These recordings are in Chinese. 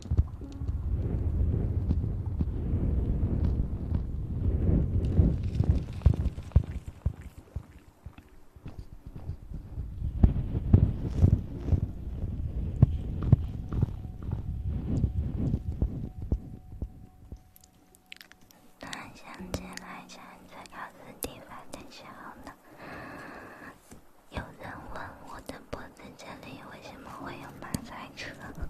突想起来，上次考试第八的时候呢，有人问我的脖子这里为什么会有马赛克。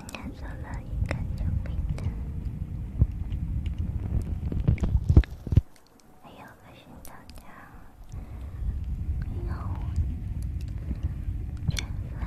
今天做了一个酒瓶的，还有个心脏跳，还有卷发。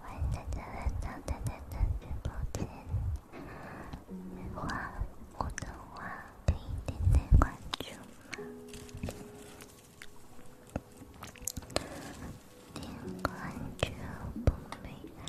欢迎大家来到咱咱咱直播间，花我的花可以点点关注吗？点关注不迷路。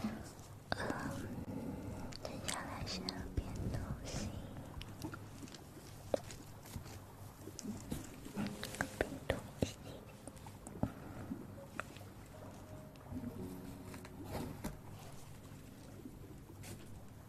嗯，等下来想变东西，变个病毒体。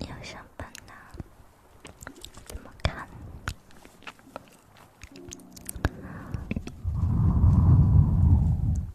要上班呢，怎么看？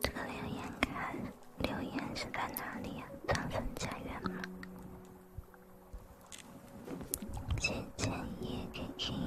这个流言看。留言是在哪里呀？钻粉家园吗？姐姐也听听。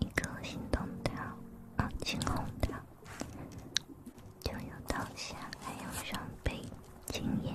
一颗心动桃，啊，金红桃，就有刀下，还有双倍经验。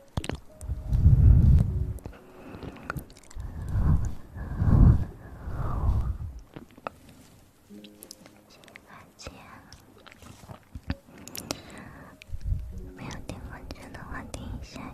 谢谢大家。没有听风声的话，听一下呀。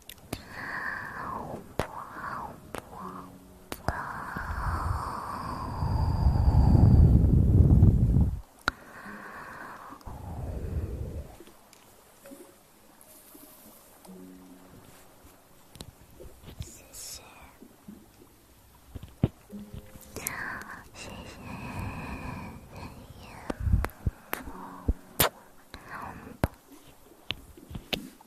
谢谢，谢谢，你好。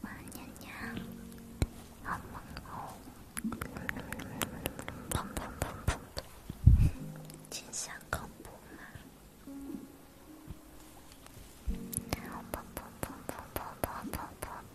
我娘娘，砰砰砰砰砰，真相恐怖吗？砰砰砰砰砰砰砰砰砰砰。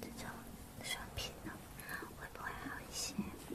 这种水平呢，会不会好一些？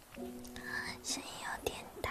声音有点大。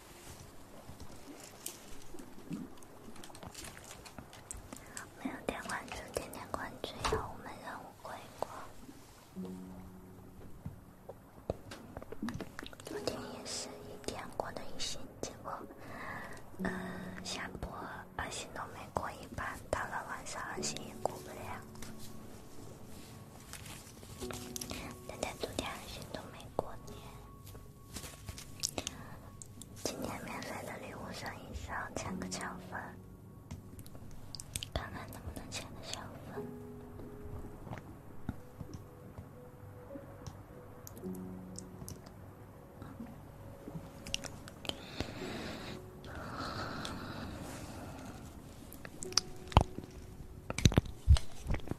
没有点关注，点点关注，然后我们任务过。昨天也是一天过了一星，结果，呃，下播二星都没过一半，到了晚上二星也过不了。奶奶昨天好像都没过年，今天免费的礼物上一上签个小粉，看看能不能签个小粉。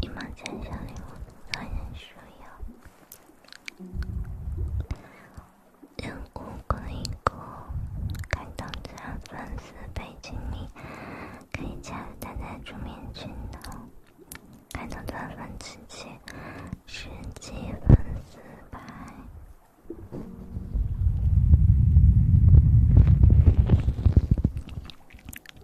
你们接下来我还要需要让哥哥一个感动的粉丝背景里，可以加他加主面群的感动的粉丝群，十几粉丝百。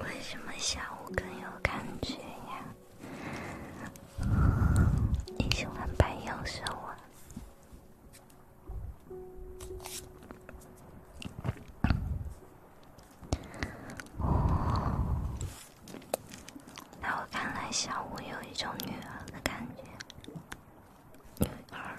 为什么下午更有感觉呀？你喜欢白羊是我？在我看来，下午有一种女儿的感觉，女儿。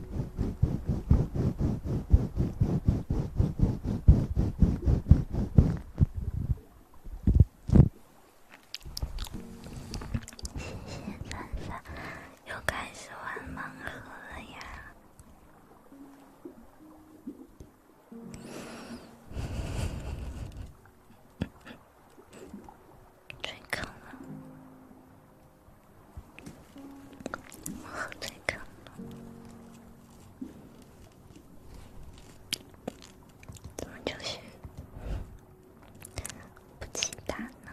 谢谢闪闪，又开始玩盲盒了呀！最坑了。我喝醉了，怎么就是不起胆呢？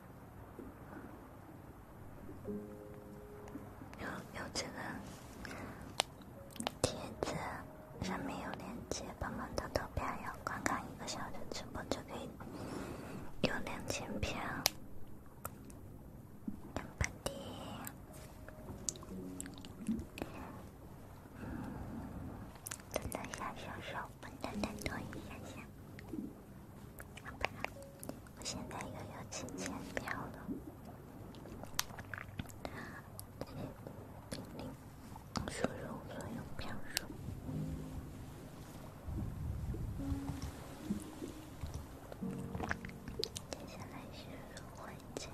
有有这个帖子，上面有链接，帮帮他投票，观看一个小时直播就可以有两千票。等半天，真的想笑笑，我真的同好吧，我现在又有金钱票了。零零，输入所有票数。接下来是入会奖。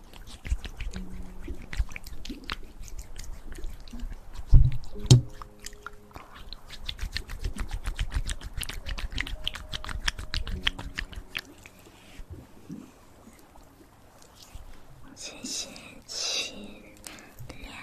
谢谢亲亮亮。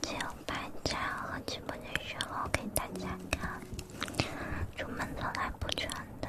只有搬家和出门的时候给大家看，出门从来不穿的。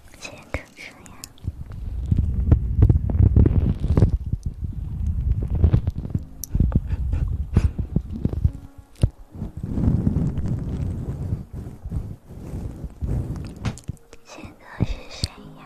谁唱歌呀？现在是谁呀？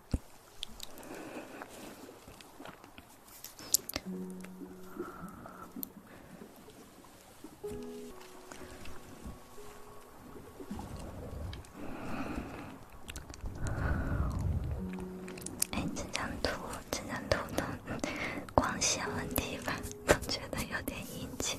哎，这张图，这张图的 光线问题吧，总觉得有点阴气。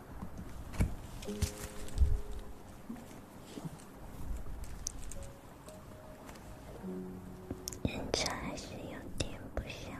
音质还是有点不像。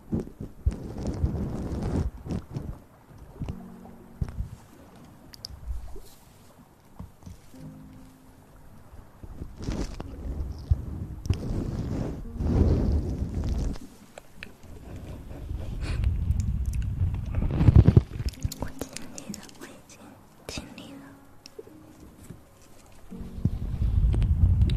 我尽力了，我已经尽力了。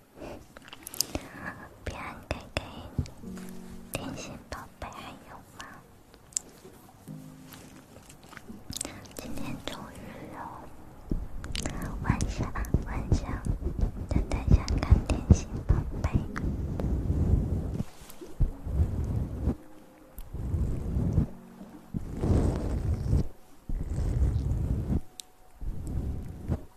平安哥哥，甜心宝贝还有吗？今天终于有晚霞，晚霞，等一下看甜心宝贝。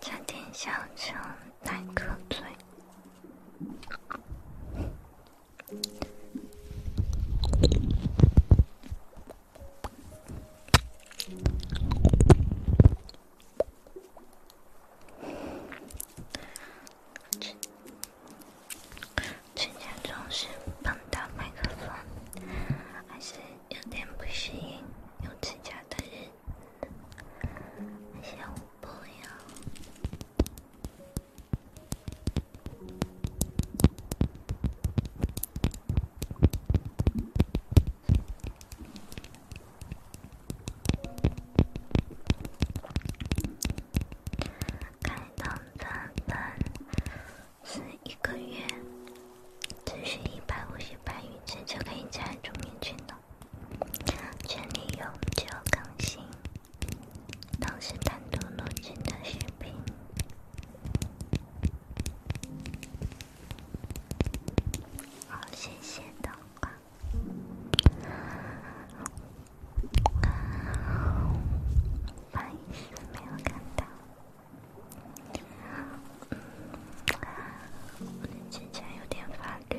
加点小酒，来个醉。指甲总是碰到麦克风，还是有点不适应用指甲的，想不要。开通的人是一个月，只需一百五十白就可以加入群了。群里永久更新，都是单独录制的视频。好，谢谢的话。不好意思，没有看到。嗯，我眼前有点发绿。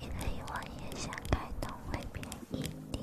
你可以问一下开通会便宜点。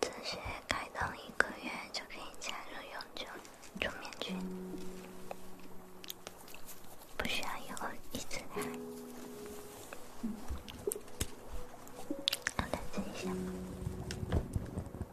这些开通一个月就可以加入永久主面群，不需要以后一直开。我等一下。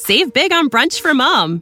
Save big on brunch for mom,